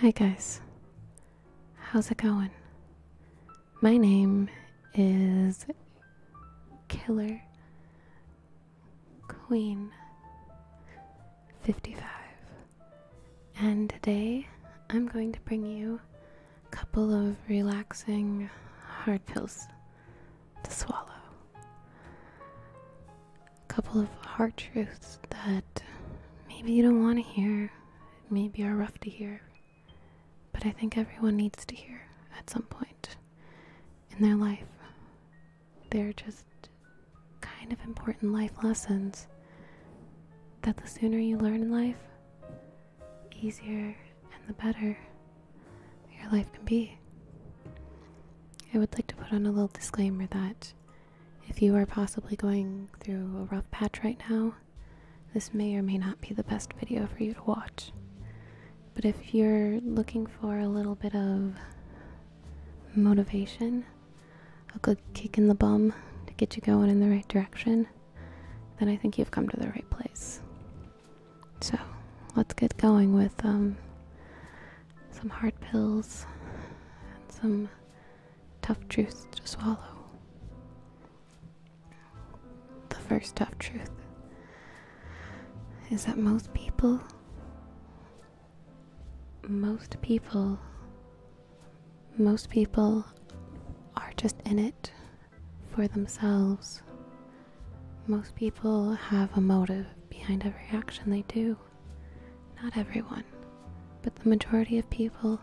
Hi, guys. How's it going? My name is Killer Queen 55, and today I'm going to bring you a couple of relaxing hard pills to swallow a couple of hard truths that maybe you don't want to hear, maybe are rough to hear, but I think everyone needs to hear at some point in their life. They're just kind of important life lessons that the sooner you learn in life, easier and the better your life can be. I would like to put on a little disclaimer that if you are possibly going through a rough patch right now, this may or may not be the best video for you to watch. But if you're looking for a little bit of motivation, a good kick in the bum to get you going in the right direction, then I think you've come to the right place. So let's get going with um, some hard pills and some tough truth to swallow. The first tough truth is that most people, most people, most people are just in it for themselves. Most people have a motive behind every action they do. Not everyone, but the majority of people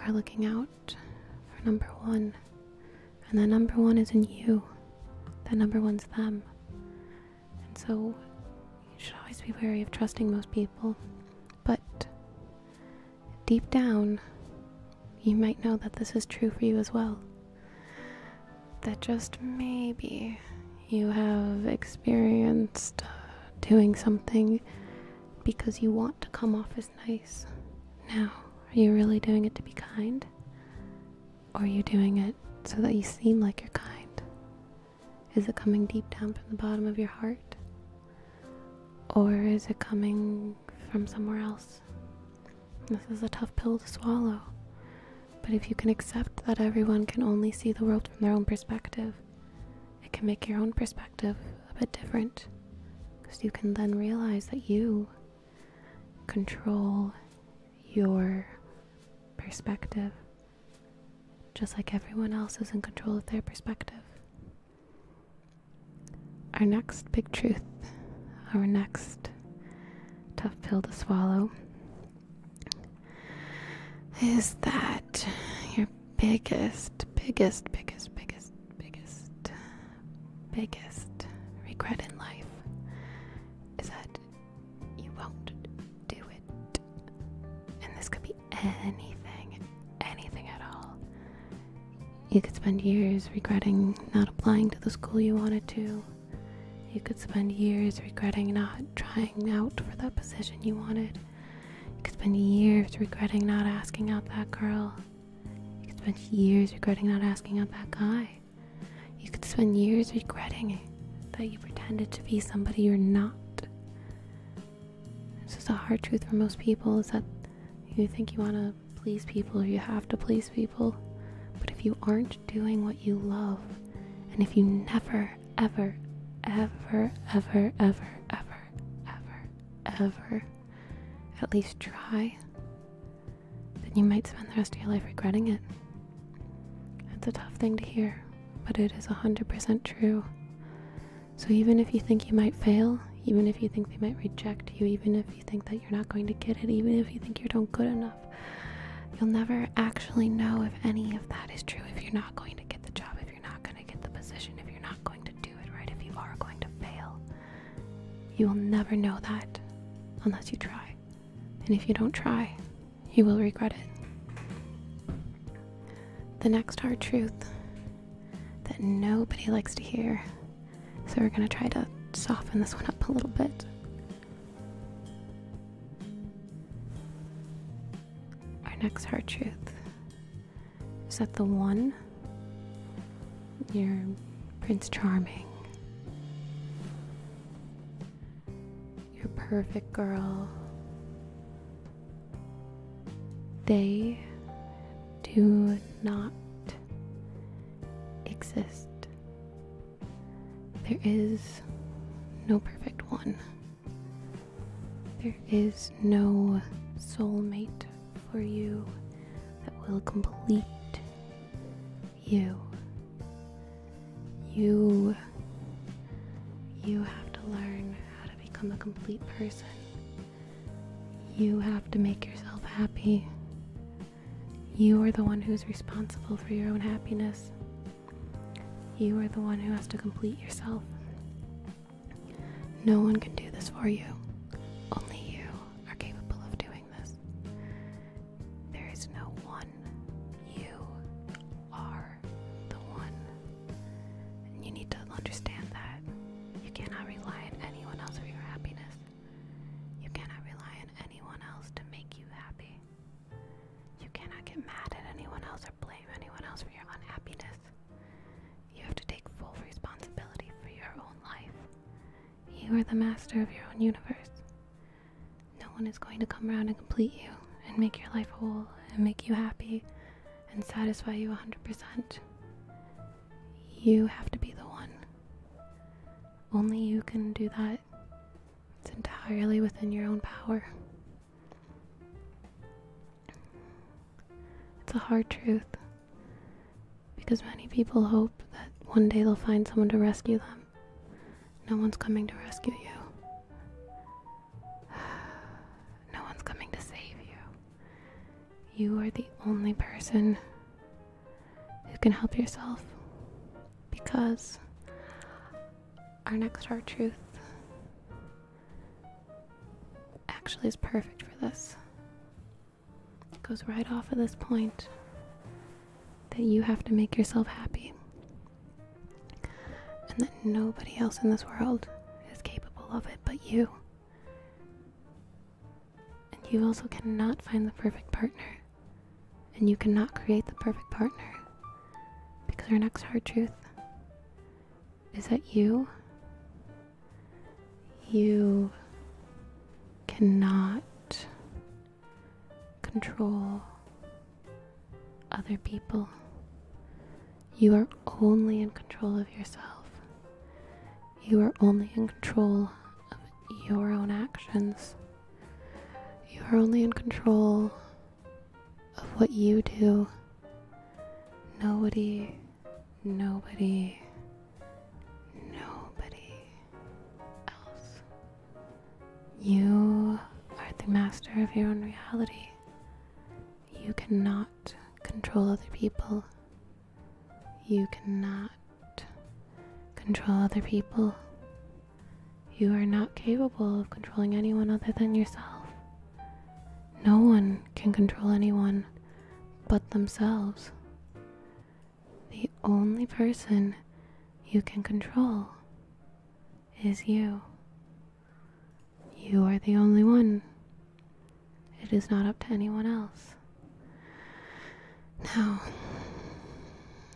are looking out for number one. And the number one isn't you, The number one's them. And so you should always be wary of trusting most people. But deep down, you might know that this is true for you as well. That just maybe you have experienced uh, doing something because you want to come off as nice. Now, are you really doing it to be kind? Or are you doing it so that you seem like you're kind? Is it coming deep down from the bottom of your heart? Or is it coming from somewhere else? This is a tough pill to swallow. But if you can accept that everyone can only see the world from their own perspective, it can make your own perspective a bit different because you can then realize that you control your perspective just like everyone else is in control of their perspective. Our next big truth, our next tough pill to swallow is that your biggest, biggest, biggest, biggest, biggest, biggest regret in life is that you won't do it. And this could be anything, anything at all. You could spend years regretting not applying to the school you wanted to. You could spend years regretting not trying out for the position you wanted. You could spend years regretting not asking out that girl. You could spend years regretting not asking out that guy. You could spend years regretting that you pretended to be somebody you're not. This is a hard truth for most people is that you think you want to please people or you have to please people. But if you aren't doing what you love, and if you never ever, ever, ever, ever, ever, ever, ever at least try, then you might spend the rest of your life regretting it. It's a tough thing to hear, but it is 100% true. So even if you think you might fail, even if you think they might reject you, even if you think that you're not going to get it, even if you think you're not good enough, you'll never actually know if any of that is true if you're not going to get the job, you're not going to get the position, if you're not going to do it right, if you are going to fail. You will never know that unless you try. And if you don't try, you will regret it. The next hard truth that nobody likes to hear. So we're going to try to soften this one up a little bit. Our next heart truth is that the one, your Prince Charming, your perfect girl, they do not exist. There is no perfect one. There is no soulmate for you that will complete you. You you have to learn how to become a complete person. You have to make yourself happy. You are the one who's responsible for your own happiness. You are the one who has to complete yourself. No one can do this for you. Only you are capable of doing this. There is no one. You are the one. And you need to understand that. You cannot rely on anyone else for your happiness. You cannot rely on anyone else to make you happy. You cannot get mad at anyone else or blame anyone else for your unhappiness. You have to take full responsibility for your own life. You are the master of your own universe. No one is going to come around and complete you and make your life whole and make you happy and satisfy you 100%. You have to be the one. Only you can do that. It's entirely within your own power. It's a hard truth because many people hope that one day they'll find someone to rescue them. No one's coming to rescue you. No one's coming to save you. You are the only person who can help yourself because our next heart truth actually is perfect for this. It goes right off of this point that you have to make yourself happy and that nobody else in this world is capable of it but you. And you also cannot find the perfect partner. And you cannot create the perfect partner. Because our next hard truth is that you? You cannot control other people. You are only in control of yourself. You are only in control of your own actions. You are only in control of what you do. Nobody, nobody, nobody else. You are the master of your own reality. You cannot control other people. You cannot control other people. You are not capable of controlling anyone other than yourself. No one can control anyone but themselves. The only person you can control is you. You are the only one. It is not up to anyone else. No. No,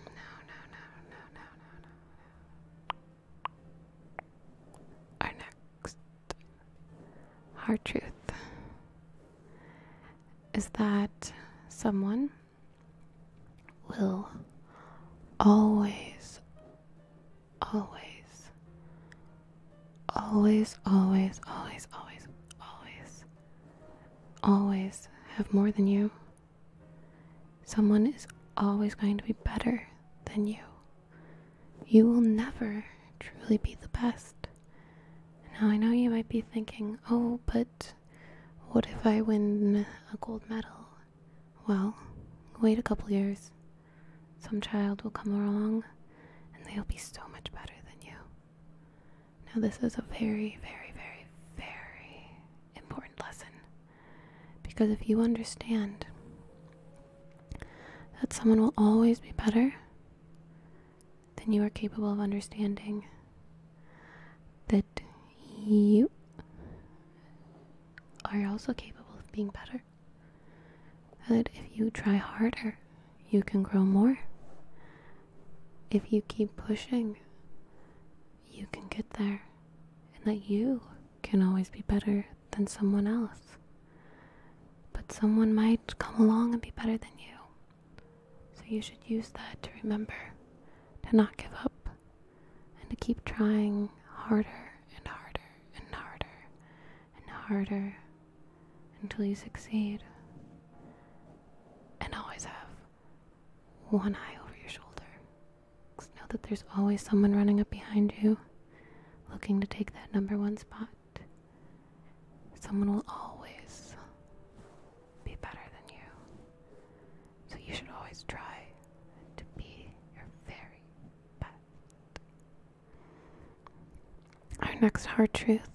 no, no, no, no, no, no. Our next hard truth is that someone will always, always, always, always, always, always, always, have more than you. Someone is always going to be better than you. You will never truly be the best. Now, I know you might be thinking, oh, but what if I win a gold medal? Well, wait a couple years. Some child will come along and they'll be so much better than you. Now, this is a very, very, very, very important lesson. Because if you understand that someone will always be better than you are capable of understanding, that you are also capable of being better, that if you try harder, you can grow more. If you keep pushing, you can get there, and that you can always be better than someone else. But someone might come along and be better than you. So you should use that to remember to not give up and to keep trying harder and harder and harder and harder until you succeed. And always have one eye over your shoulder. Just know that there's always someone running up behind you, looking to take that number one spot. Someone will always be better than you. So you should always try to be your very best. Our next hard truth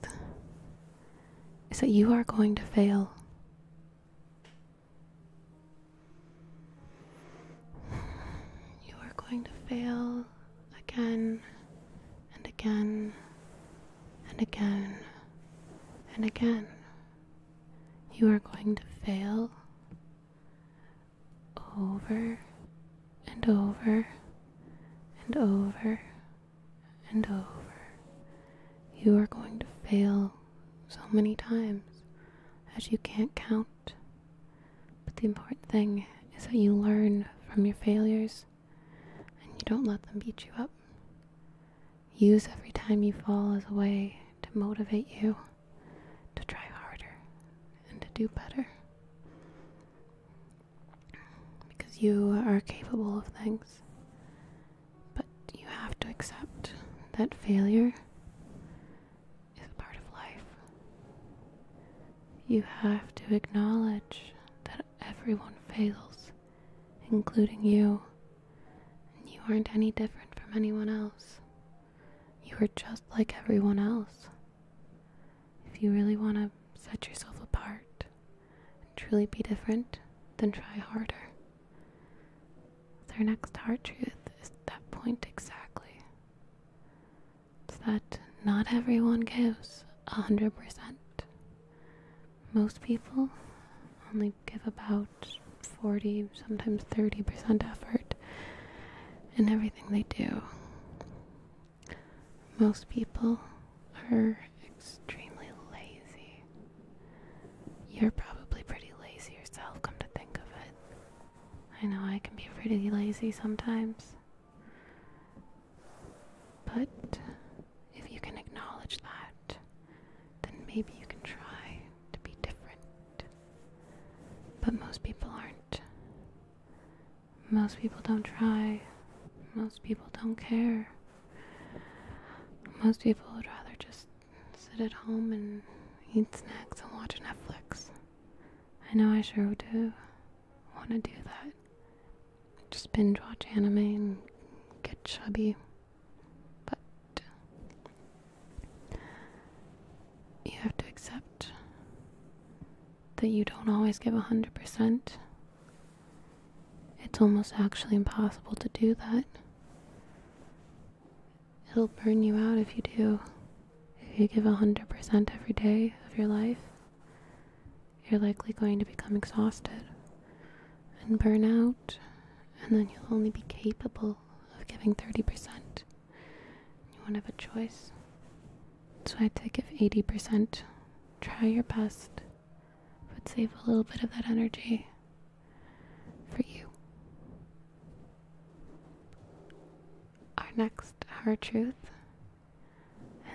is that you are going to fail. You are going to fail again and again and again and again. You are going to fail over and over and over and over. You are going to fail so many times as you can't count. But the important thing is that you learn from your failures and you don't let them beat you up. Use every time you fall as a way to motivate you to try harder and to do better. Because you are capable of things. But you have to accept that failure is a part of life. You have to acknowledge that everyone fails, including you. you aren't any different from anyone else. You are just like everyone else. If you really want to set yourself apart and truly be different, then try harder. Their next hard truth is that point exactly. It's that not everyone gives a hundred percent. Most people only give about 40, sometimes 30% effort in everything they do. Most people are extremely lazy. You're probably pretty lazy yourself, come to think of it. I know I can be pretty lazy sometimes. But if you can acknowledge that, then maybe you can try to be different. But most people aren't. Most people don't try. Most people don't care. Most people would rather just sit at home and eat snacks and watch Netflix. I know I sure do want to do that. Just binge watch anime and get chubby. But you have to accept that you don't always give 100%. It's almost actually impossible to do that. It'll burn you out if you do. If you give 100% every day of your life, you're likely going to become exhausted and burn out, and then you'll only be capable of giving 30%. You won't have a choice. So I would say give 80%. Try your best, but save a little bit of that energy for you our next hard truth.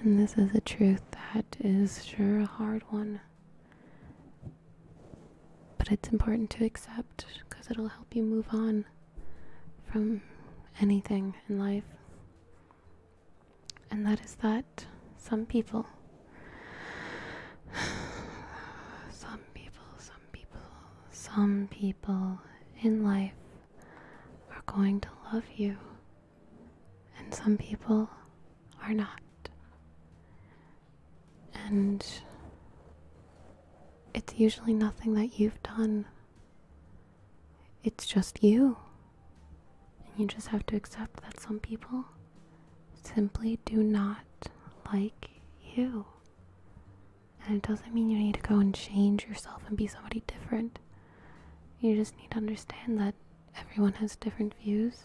And this is a truth that is sure a hard one. But it's important to accept because it'll help you move on from anything in life. And that is that some people, some people, some people, some people in life are going to love you, and some people are not. And it's usually nothing that you've done, it's just you. And you just have to accept that some people simply do not like you. And it doesn't mean you need to go and change yourself and be somebody different. You just need to understand that everyone has different views,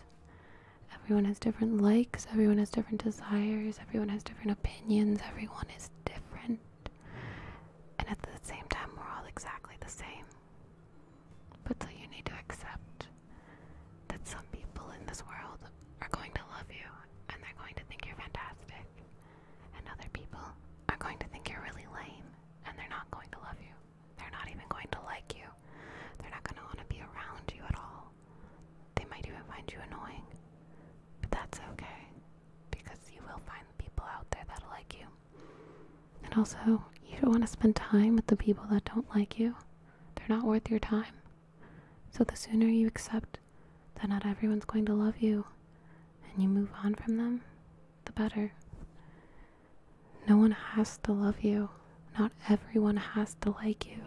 everyone has different likes, everyone has different desires, everyone has different opinions, everyone is different. And at the same time, we're all exactly the same. But so you need to accept that some people in this world are going to love you and they're going to think you're fantastic and other people are going to think you're really lame and they're not going to love you. They're not even going to like you. They're not going to want to be around you at all. They might even find you annoying. But that's okay because you will find people out there that like you. And also, you don't want to spend time with the people that don't like you. They're not worth your time. So the sooner you accept that not everyone's going to love you and you move on from them, the better. No one has to love you. Not everyone has to like you.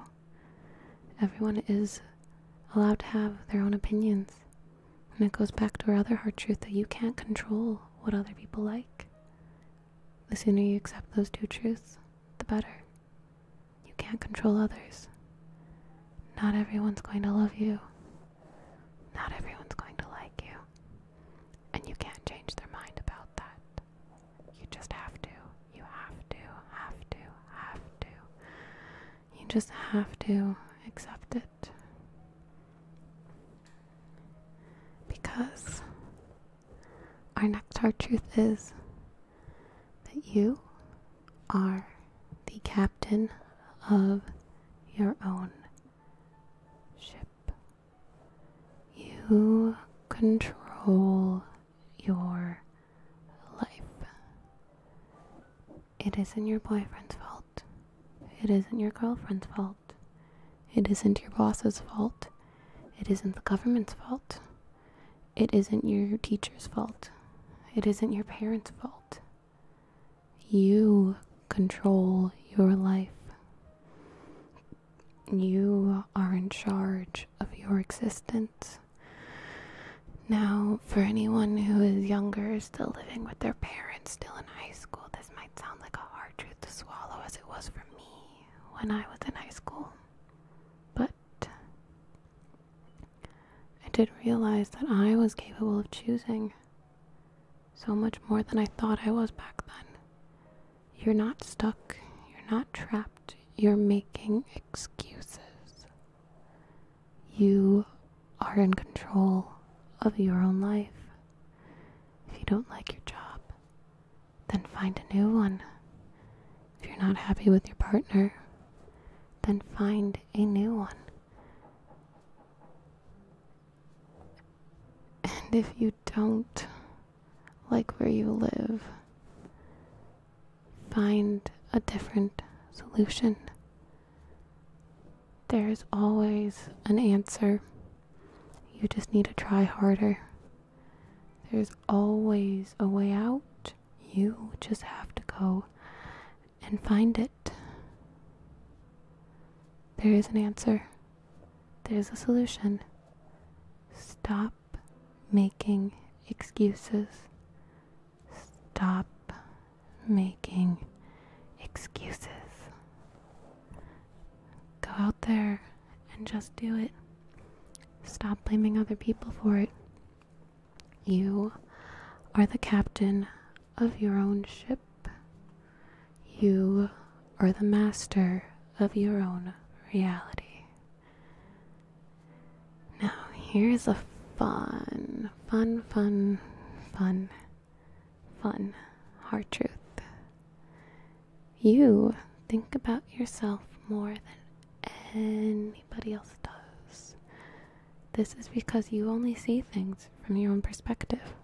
Everyone is allowed to have their own opinions. And it goes back to our other hard truth that you can't control what other people like. The sooner you accept those two truths, the better. You can't control others. Not everyone's going to love you. Not everyone's going to like you. And you can't change their mind about that. You just have to. You have to, have to, have to. You just have to accept it. Because our next hard truth is that you are the captain of your own ship. You control your life. It isn't your boyfriend's fault. It isn't your girlfriend's fault. It isn't your boss's fault. It isn't the government's fault. It isn't your teacher's fault. It isn't your parents' fault. You control your life. You are in charge of your existence. Now, for anyone who is younger, still living with their parents, still in high school, this might sound like a hard truth to swallow as it was for me when I was in high school. But I did not realize that I was capable of choosing so much more than I thought I was back then. You're not stuck, you're not trapped, you're making excuses. You are in control of your own life. If you don't like your job, then find a new one. If you're not happy with your partner, then find a new one. And if you don't like where you live, find a different solution. There is always an answer. You just need to try harder. There's always a way out. You just have to go and find it. There is an answer. There is a solution. Stop making excuses. Stop making excuses. Go out there and just do it. Stop blaming other people for it. You are the captain of your own ship. You are the master of your own reality. Now, here's a fun, fun, fun, fun, fun hard truth. You think about yourself more than anybody else does. This is because you only see things from your own perspective.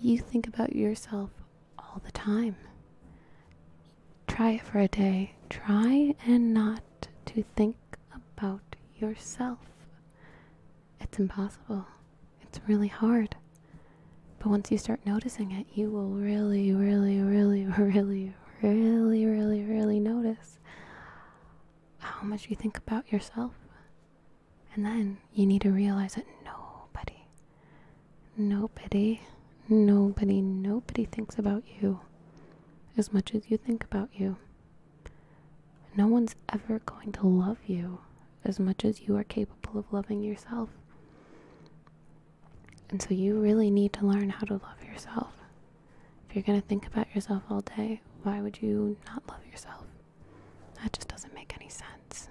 You think about yourself all the time. Try it for a day. Try and not to think about yourself. It's impossible. It's really hard. But once you start noticing it, you will really, really, really, really, really, really, really notice how much you think about yourself. And then you need to realize that nobody, nobody, nobody, nobody thinks about you as much as you think about you. No one's ever going to love you as much as you are capable of loving yourself. And so you really need to learn how to love yourself if you're going to think about yourself all day, why would you not love yourself? That just doesn't make any sense.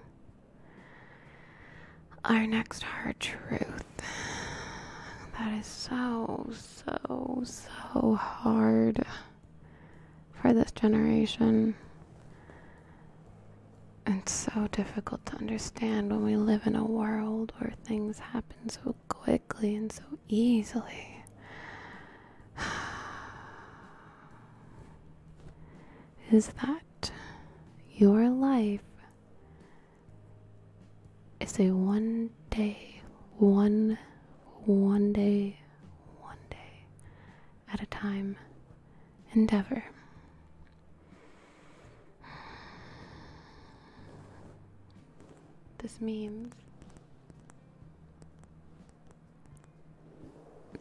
Our next hard truth. That is so, so, so hard for this generation. And so difficult to understand when we live in a world where things happen so quickly and so easily. is that your life is a one day, one, one day, one day at a time endeavor. This means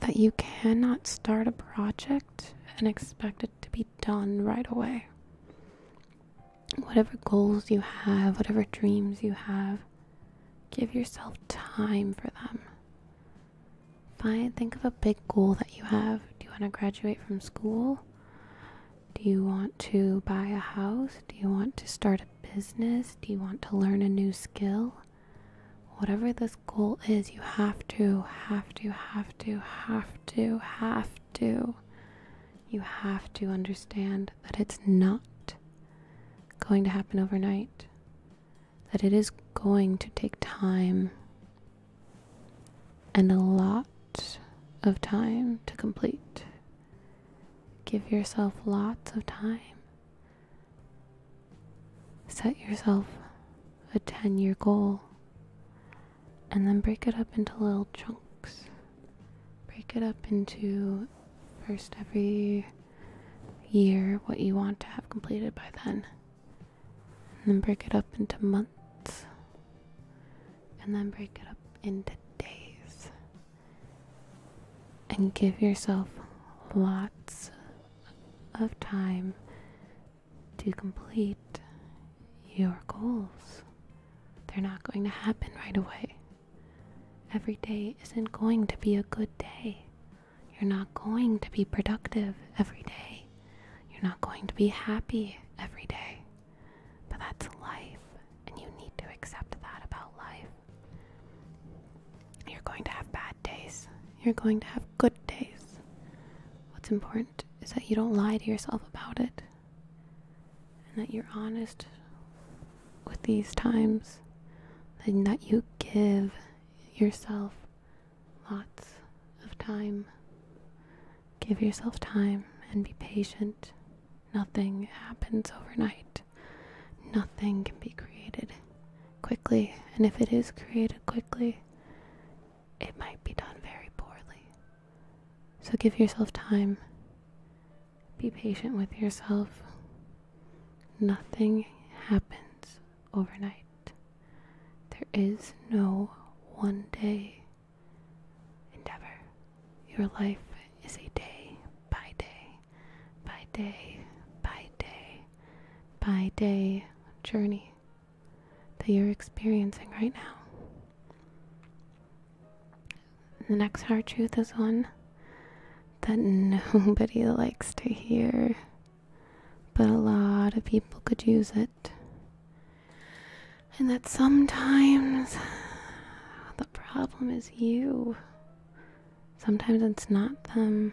that you cannot start a project and expect it to be done right away. Whatever goals you have, whatever dreams you have, give yourself time for them. Fine. think of a big goal that you have. Do you want to graduate from school? Do you want to buy a house? Do you want to start a business? Do you want to learn a new skill? Whatever this goal is, you have to, have to, have to, have to, have to. You have to understand that it's not going to happen overnight, that it is going to take time and a lot of time to complete. Give yourself lots of time. Set yourself a 10 year goal and then break it up into little chunks. Break it up into first every year what you want to have completed by then. And then break it up into months. And then break it up into days and give yourself lots of time to complete your goals. They're not going to happen right away. Every day isn't going to be a good day. You're not going to be productive every day. You're not going to be happy every day. But that's life, and you need to accept that about life. You're going to have bad days, you're going to have good days. What's important is that you don't lie to yourself about it, and that you're honest with these times, and that you give yourself lots of time. Give yourself time and be patient. Nothing happens overnight. Nothing can be created quickly, and if it is created quickly, it might be done very poorly. So give yourself time. Be patient with yourself. Nothing happens overnight. There is no one day endeavor. Your life is a day by day, by day, by day, by day journey that you're experiencing right now. The next hard truth is one that nobody likes to hear, but a lot of people could use it. And that sometimes the problem is you. Sometimes it's not them.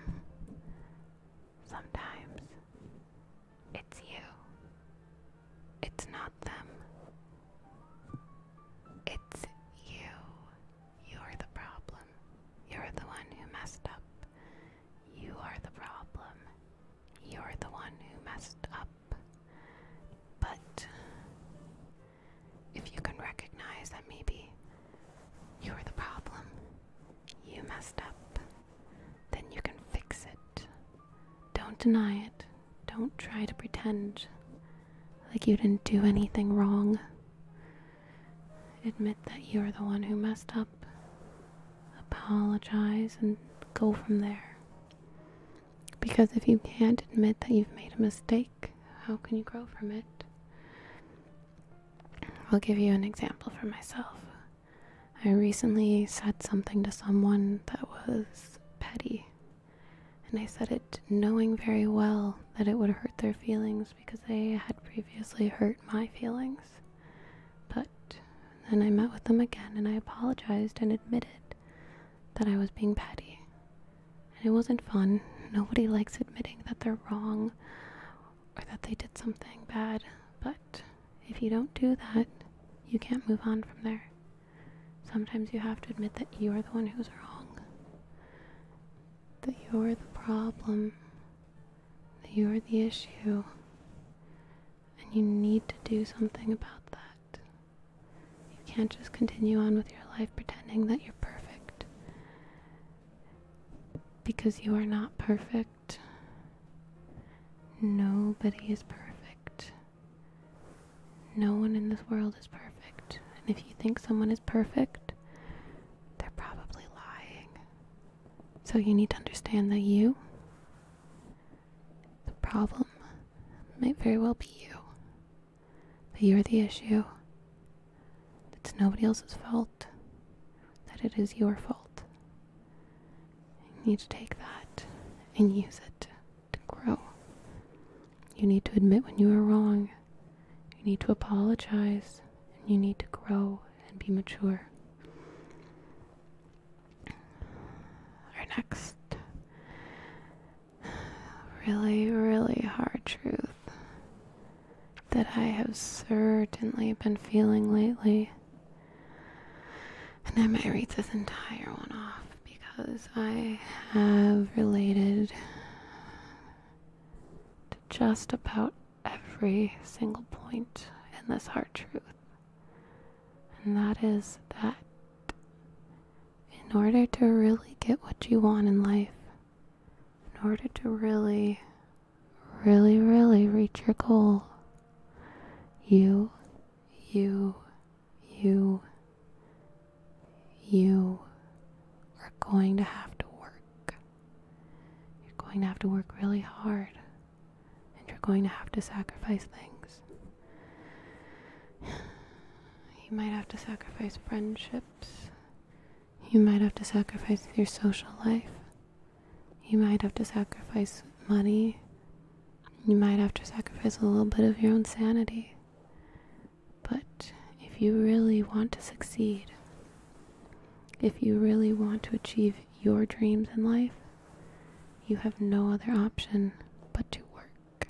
Sometimes it's you. It's not them. It's you. You're the problem. You're the one who messed up. You are the problem. You're the one who messed up. But if you can recognize that maybe you're the problem, you messed up, then you can fix it. Don't deny it. Don't try to pretend like you didn't do anything wrong. Admit that you're the one who messed up. Apologize and go from there. Because if you can't admit that you've made a mistake, how can you grow from it? I'll give you an example from myself. I recently said something to someone that was petty, and I said it knowing very well that it would hurt their feelings because they had previously hurt my feelings. But then I met with them again and I apologized and admitted that I was being petty. And it wasn't fun. Nobody likes admitting that they're wrong or that they did something bad, but if you don't do that, you can't move on from there. Sometimes you have to admit that you are the one who's wrong, that you're the problem, that you're the issue, and you need to do something about that. You can't just continue on with your life pretending that you're perfect. Because you are not perfect. Nobody is perfect. No one in this world is perfect. And if you think someone is perfect, they're probably lying. So you need to understand that you, the problem, might very well be you. But you're the issue. It's nobody else's fault. That it is your fault. You need to take that and use it to grow. You need to admit when you are wrong. You need to apologize. And you need to grow and be mature. Our next really, really hard truth that I have certainly been feeling lately. And I might read this entire one off because I have related to just about every single point in this hard truth. And that is that in order to really get what you want in life, in order to really, really, really reach your goal, you, you, you, you are going to have to work. You're going to have to work really hard, and you're going to have to sacrifice things. You might have to sacrifice friendships. You might have to sacrifice your social life. You might have to sacrifice money. You might have to sacrifice a little bit of your own sanity. But if you really want to succeed, if you really want to achieve your dreams in life, you have no other option but to work.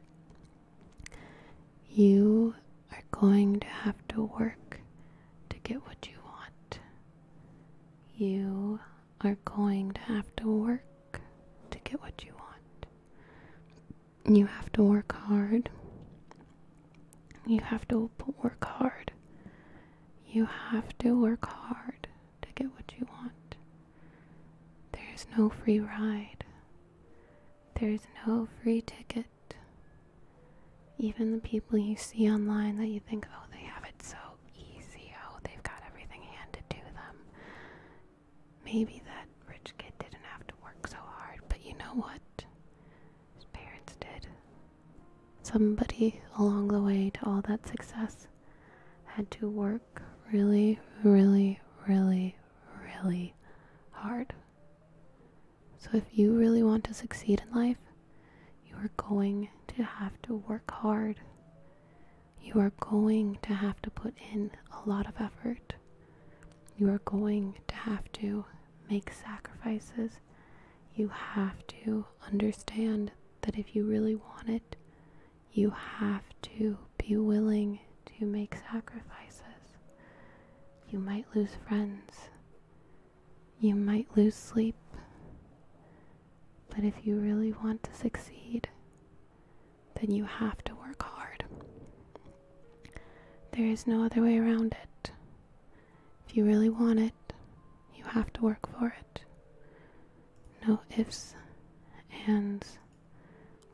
You are going to have to work to get what you want. You are going to have to work to get what you want. You have to work hard. You have to work hard. You have to work hard to get what you want. There is no free ride. There is no free ticket. Even the people you see online that you think, oh, they have it so easy, oh, they've got everything handed to them. Maybe that rich kid didn't have to work so hard, but you know what? His parents did. Somebody along the way to all that success had to work really, really, really, really hard. So, if you really want to succeed in life, you are going to have to work hard. You are going to have to put in a lot of effort. You are going to have to make sacrifices. You have to understand that if you really want it, you have to be willing to make sacrifices. You might lose friends. You might lose sleep. But if you really want to succeed, then you have to work hard. There is no other way around it. If you really want it, you have to work for it. No ifs, ands,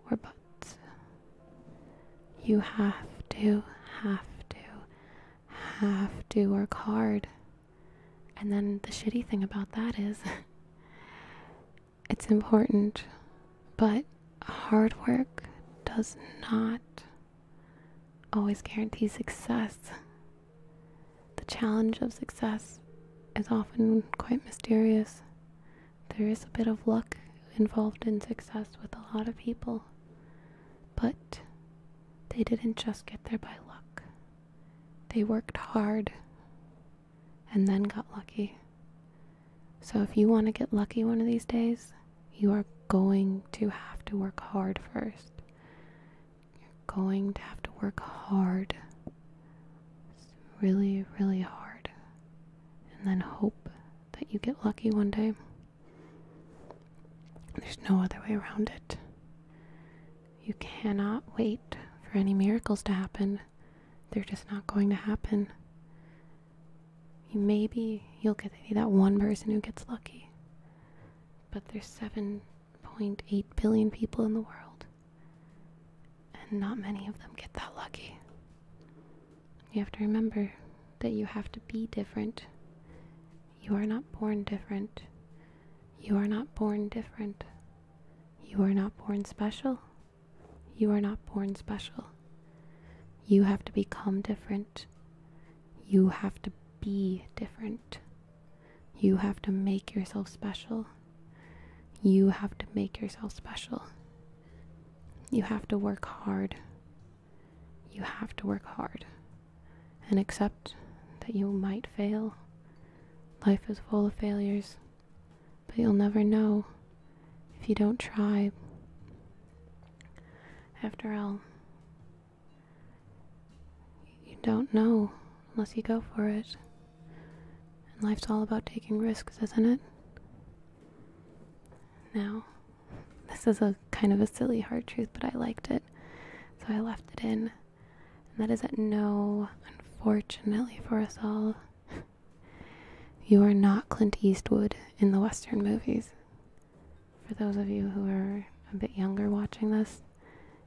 or buts. You have to, have to, have to work hard. And then the shitty thing about that is it's important, but hard work does not always guarantee success. The challenge of success is often quite mysterious. There is a bit of luck involved in success with a lot of people, but they didn't just get there by luck. They worked hard and then got lucky. So if you want to get lucky one of these days, you are going to have to work hard first. You're going to have to work hard. really, really hard. And then hope that you get lucky one day. There's no other way around it. You cannot wait for any miracles to happen. They're just not going to happen. maybe you'll get that one person who gets lucky. But there's 7.8 billion people in the world and not many of them get that lucky. You have to remember that you have to be different. You are not born different. You are not born different. You are not born special. You are not born special. You have to become different. You have to be different. You have to make yourself special. You have to make yourself special. You have to work hard. You have to work hard. And accept that you might fail. Life is full of failures, but you'll never know if you don't try. After all, you don't know unless you go for it. And life's all about taking risks, isn't it? Now, this is a kind of a silly hard truth, but I liked it, so I left it in. And that is that no, unfortunately for us all, you are not Clint Eastwood in the Western movies. For those of you who are a bit younger watching this,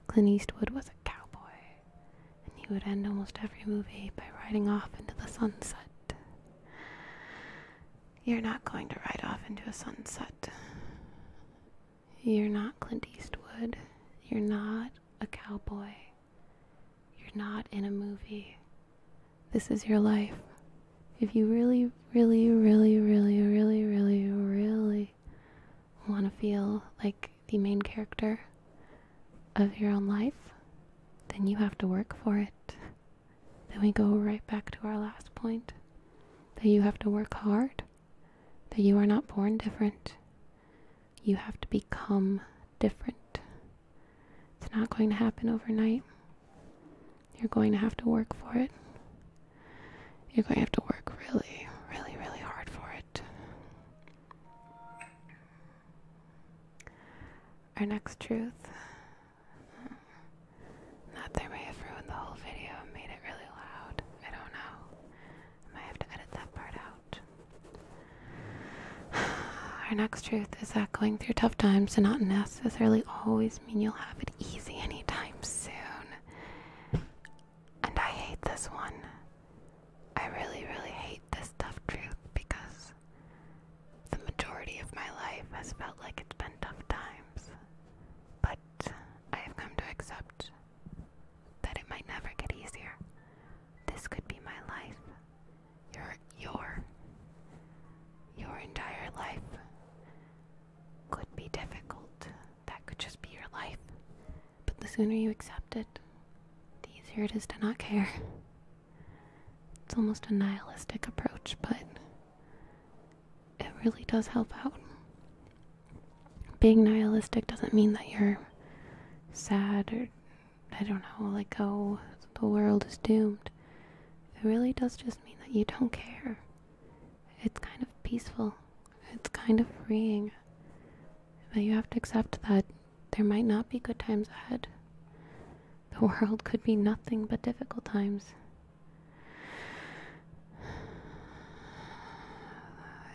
Clint Eastwood was a cowboy, and he would end almost every movie by riding off into the sunset. You're not going to ride off into a sunset. You're not Clint Eastwood. You're not a cowboy. You're not in a movie. This is your life. If you really, really, really, really, really, really, really want to feel like the main character, of your own life, then you have to work for it. Then we go right back to our last point that you have to work hard, that you are not born different. You have to become different. It's not going to happen overnight. You're going to have to work for it. You're going to have to work really, really, really hard for it. Our next truth. Not there may have ruined the whole video made it really loud. I don't know. might have to edit that part out. Our next truth is that going through tough times does not necessarily always mean you'll have it easy anytime soon. And I hate this one. I really, really hate this tough truth because the majority of my life has felt like it's been tough times, but I have come to accept that it might never get easier. This could be my life. Your your your entire life could be difficult. That could just be your life. But the sooner you accept it, the easier it is to not care. It's almost a nihilistic approach, but it really does help out. Being nihilistic doesn't mean that you're sad or, I don't know, like, oh, the world is doomed. It really does just mean that you don't care. It's kind of peaceful, it's kind of freeing But you have to accept that there might not be good times ahead. The world could be nothing but difficult times.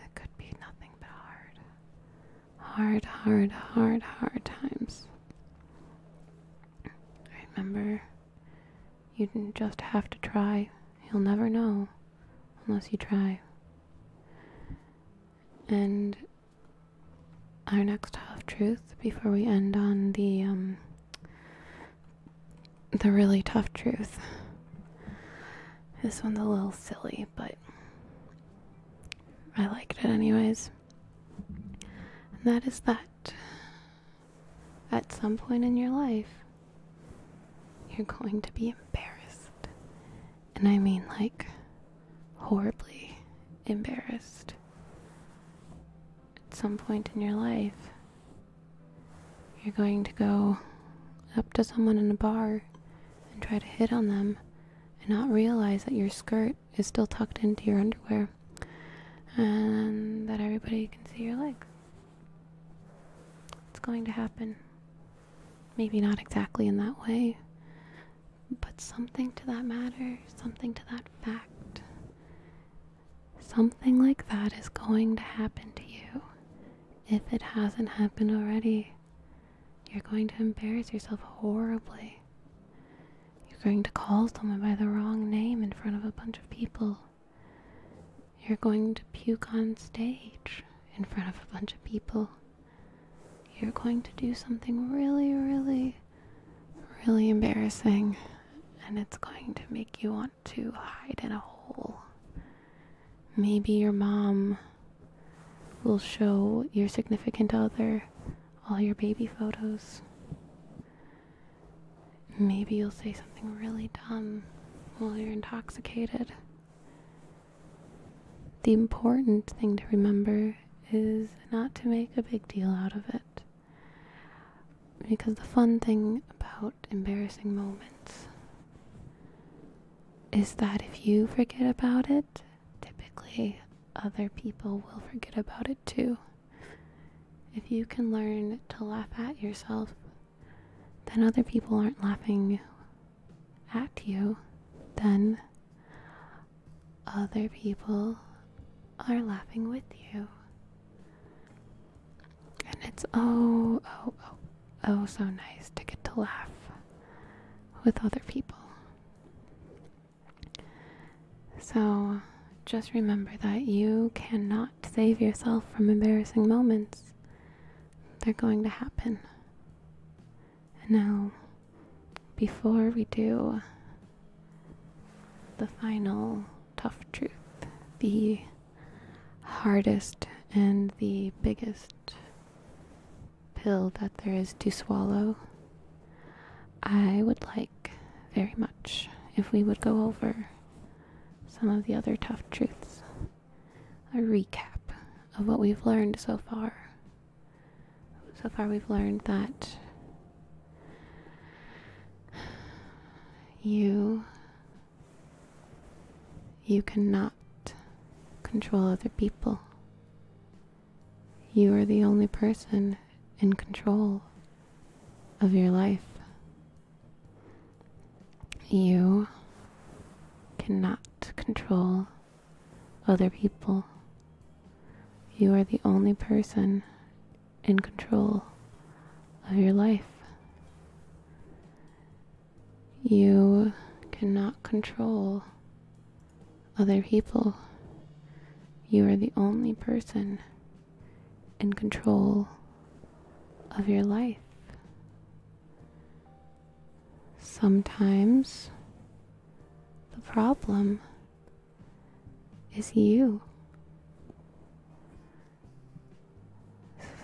It could be nothing but hard. Hard, hard, hard, hard times. Remember, you just have to try. You'll never know unless you try. And our next half truth before we end on the um, the really tough truth. This one's a little silly, but I liked it anyways. And that is that at some point in your life, you're going to be embarrassed. And I mean, like, horribly embarrassed at some point in your life. You're going to go up to someone in a bar and try to hit on them and not realize that your skirt is still tucked into your underwear and that everybody can see your legs. It's going to happen. Maybe not exactly in that way, but something to that matter, something to that fact. Something like that is going to happen to you if it hasn't happened already. You're going to embarrass yourself horribly. You're going to call someone by the wrong name in front of a bunch of people. You're going to puke on stage in front of a bunch of people. You're going to do something really, really really embarrassing, and it's going to make you want to hide in a hole. Maybe your mom will show your significant other all your baby photos. Maybe you'll say something really dumb while you're intoxicated. The important thing to remember is not to make a big deal out of it. Because the fun thing about embarrassing moments is that if you forget about it, typically other people will forget about it too. If you can learn to laugh at yourself, then other people aren't laughing at you, then other people are laughing with you. And it's oh, oh, oh, oh, so nice to get to laugh with other people. So just remember that you cannot save yourself from embarrassing moments. They're going to happen. And now before we do the final tough truth, the hardest and the biggest pill that there is to swallow, I would like very much if we would go over some of the other tough truths, a recap of what we've learned so far so far, we've learned that you you cannot control other people. You are the only person in control of your life. You cannot control other people. You are the only person in control of your life. You cannot control other people. You are the only person in control of your life. Sometimes the problem is you.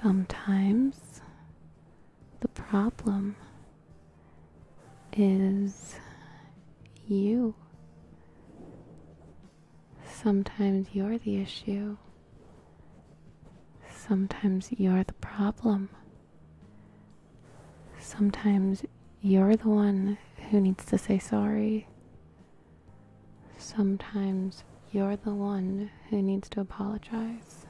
Sometimes the problem is you. Sometimes you're the issue. Sometimes you're the problem. Sometimes you're the one who needs to say sorry. Sometimes you're the one who needs to apologize.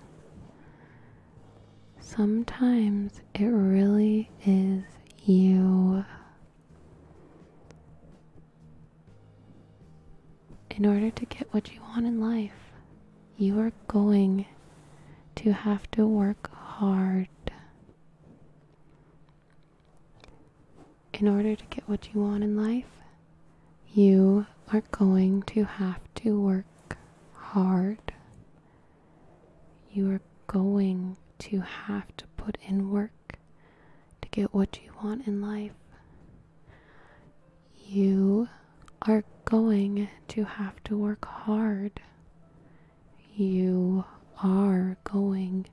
Sometimes it really is you. In order to get what you want in life, you are going to have to work hard. In order to get what you want in life, you are going to have to work hard. You are going to have to put in work to get what you want in life. You are going to have to work hard you are going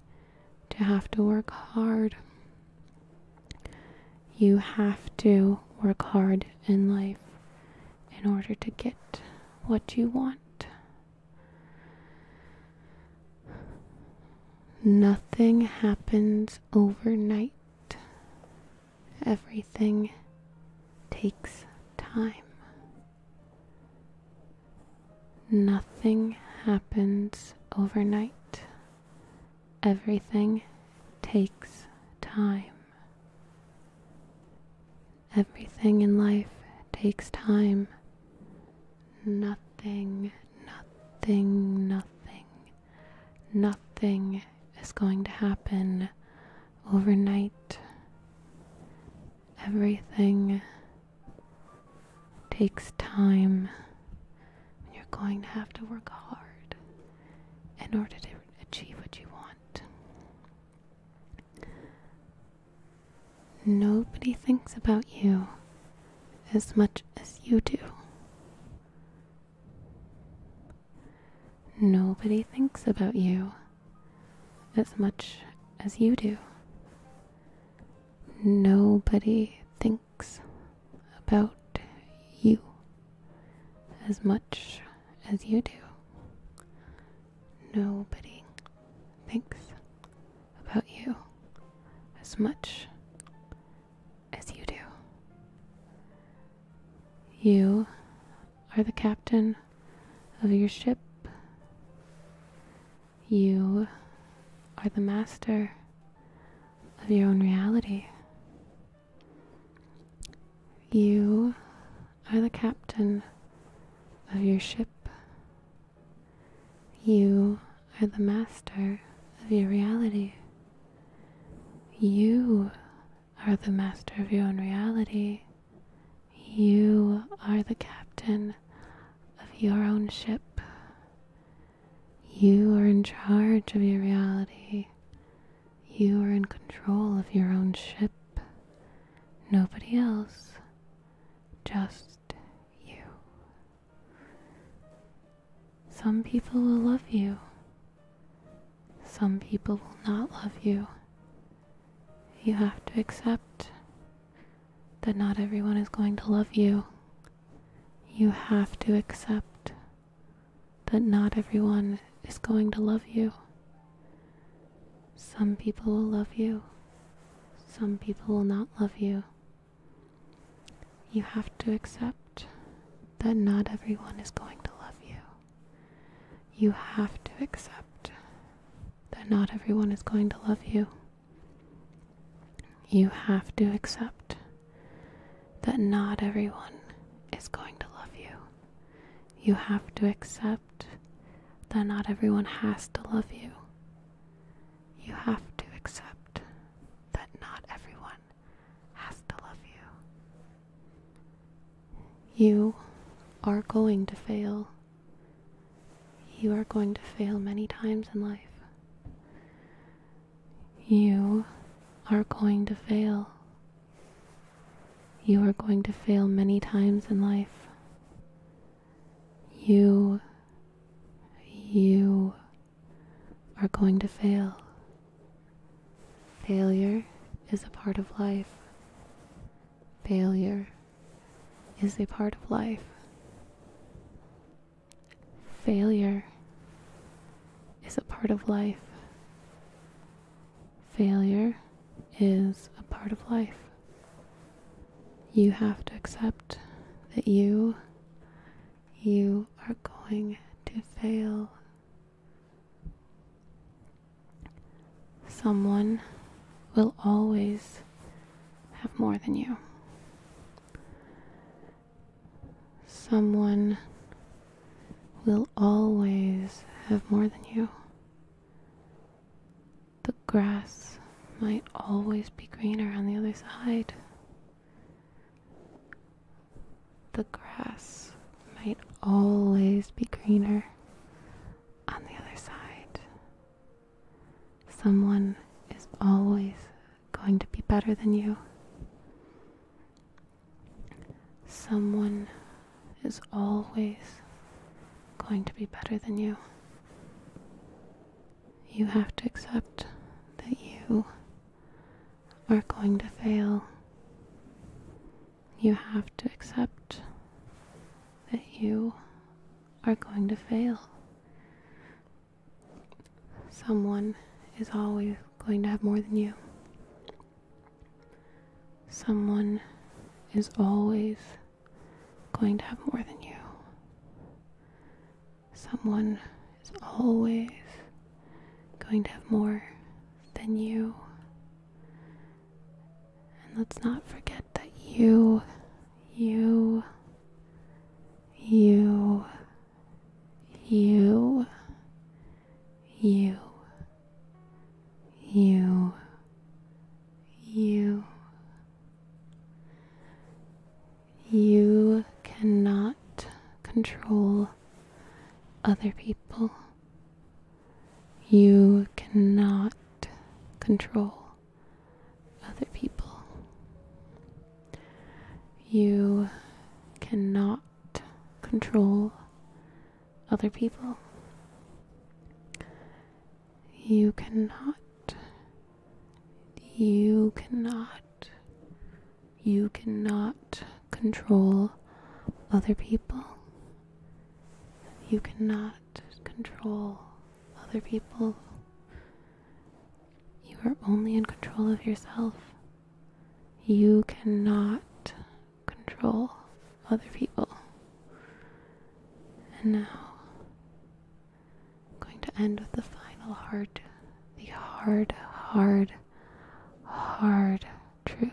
to have to work hard. You have to work hard in life in order to get what you want. Nothing happens overnight. Everything takes time. Nothing happens overnight. Everything takes time. Everything in life takes time. Nothing, nothing, nothing, nothing is going to happen overnight. Everything takes time. You're going to have to work hard in order to achieve what you want. Nobody thinks about you as much as you do. Nobody thinks about you as much as you do. Nobody thinks about you as much as you do. Nobody thinks about you as much as you do. You are the captain of your ship you are the master of your own reality. You are the captain of your ship. You are the master of your reality. You are the master of your own reality. You are the captain of your own ship. You are in charge of your reality. You are in control of your own ship. Nobody else, just you. Some people will love you, some people will not love you. You have to accept that not everyone is going to love you. You have to accept that not everyone is going to love you. Some people will love you, some people will not love you. You have to accept that not everyone is going to love you. You have to accept that not everyone is going to love you. You have to accept that not everyone is going to love you. You have to accept that not everyone has to love you. You have to accept that not everyone has to love you. You are going to fail. You are going to fail many times in life. You are going to fail. You are going to fail many times in life. You, you are going to fail. Failure is a part of life. Failure is a part of life. Failure is a part of life. Failure is a part of life. You have to accept that you you are going to fail someone will always have more than you. Someone will always have more than you. The grass might always be greener on the other side. The grass might always be greener on the other side. Someone is always going to be better than you. Someone is always going to be better than you. You have to accept that you are going to fail. You have to accept that you are going to fail. Someone is always going to have more than you. Someone is always going to have more than you. Someone is always going to have more than you. And let's not forget that you, you, you, you, you, you, you, you cannot control other people. You cannot control other people. You cannot control other people. You cannot. You cannot. You cannot control other people. You cannot not control other people. You are only in control of yourself. You cannot control other people. And now, I'm going to end with the final hard, the hard, hard, hard truth.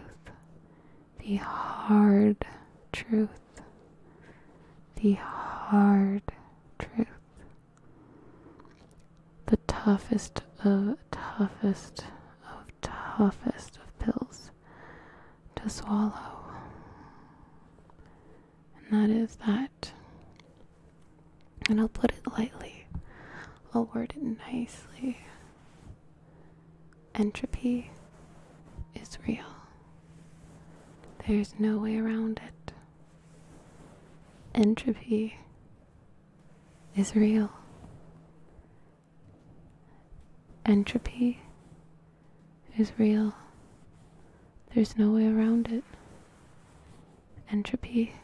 The hard truth the hard truth, the toughest of toughest of toughest of pills to swallow. And that is that. And I'll put it lightly, I'll word it nicely. Entropy is real. There's no way around it. Entropy is real. Entropy is real. There's no way around it. Entropy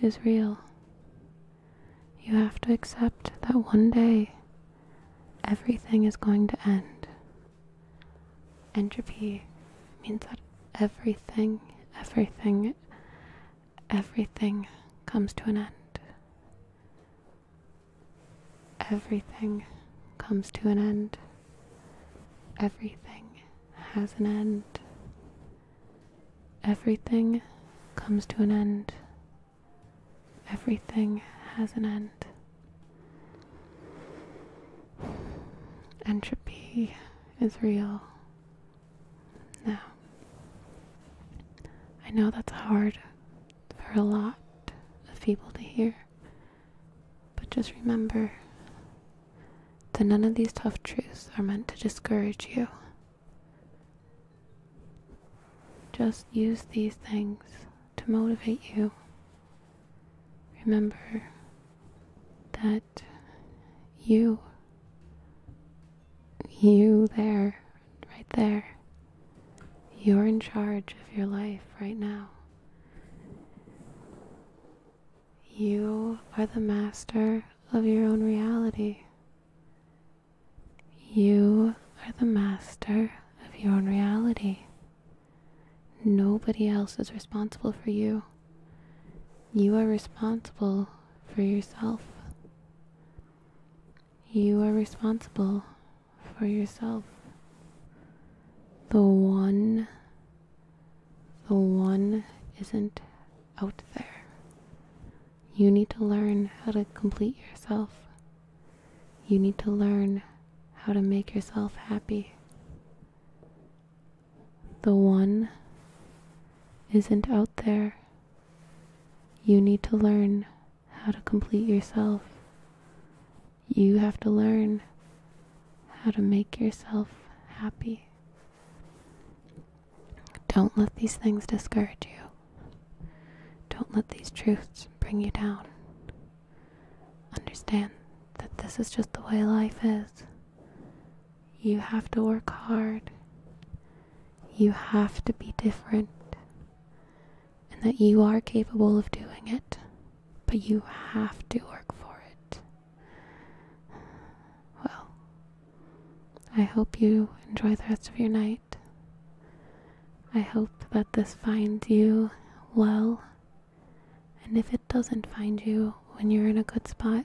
is real. You have to accept that one day everything is going to end. Entropy means that everything, everything, everything comes to an end. Everything comes to an end. Everything has an end. Everything comes to an end. Everything has an end. Entropy is real. Now, I know that's hard for a lot of people to hear, but just remember that none of these tough truths are meant to discourage you. Just use these things to motivate you Remember that you, you there, right there, you're in charge of your life right now. You are the master of your own reality. You are the master of your own reality. Nobody else is responsible for you. You are responsible for yourself. You are responsible for yourself. The one, the one isn't out there. You need to learn how to complete yourself. You need to learn how to make yourself happy. The one isn't out there. You need to learn how to complete yourself. You have to learn how to make yourself happy. Don't let these things discourage you. Don't let these truths bring you down. Understand that this is just the way life is. You have to work hard. You have to be different. And that you are capable of doing it. But you have to work for it. Well, I hope you enjoy the rest of your night. I hope that this finds you well and if it doesn't find you when you're in a good spot,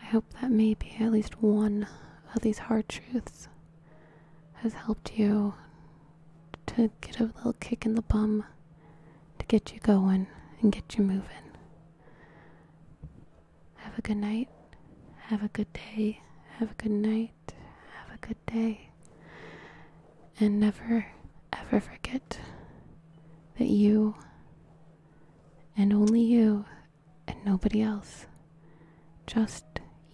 I hope that maybe at least one of these hard truths has helped you to get a little kick in the bum to get you going and get you moving. Have a good night. Have a good day. Have a good night have a good day, and never ever forget that you and only you and nobody else, just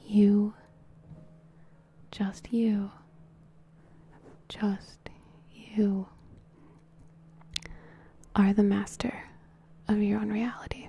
you, just you, just you are the master of your own reality.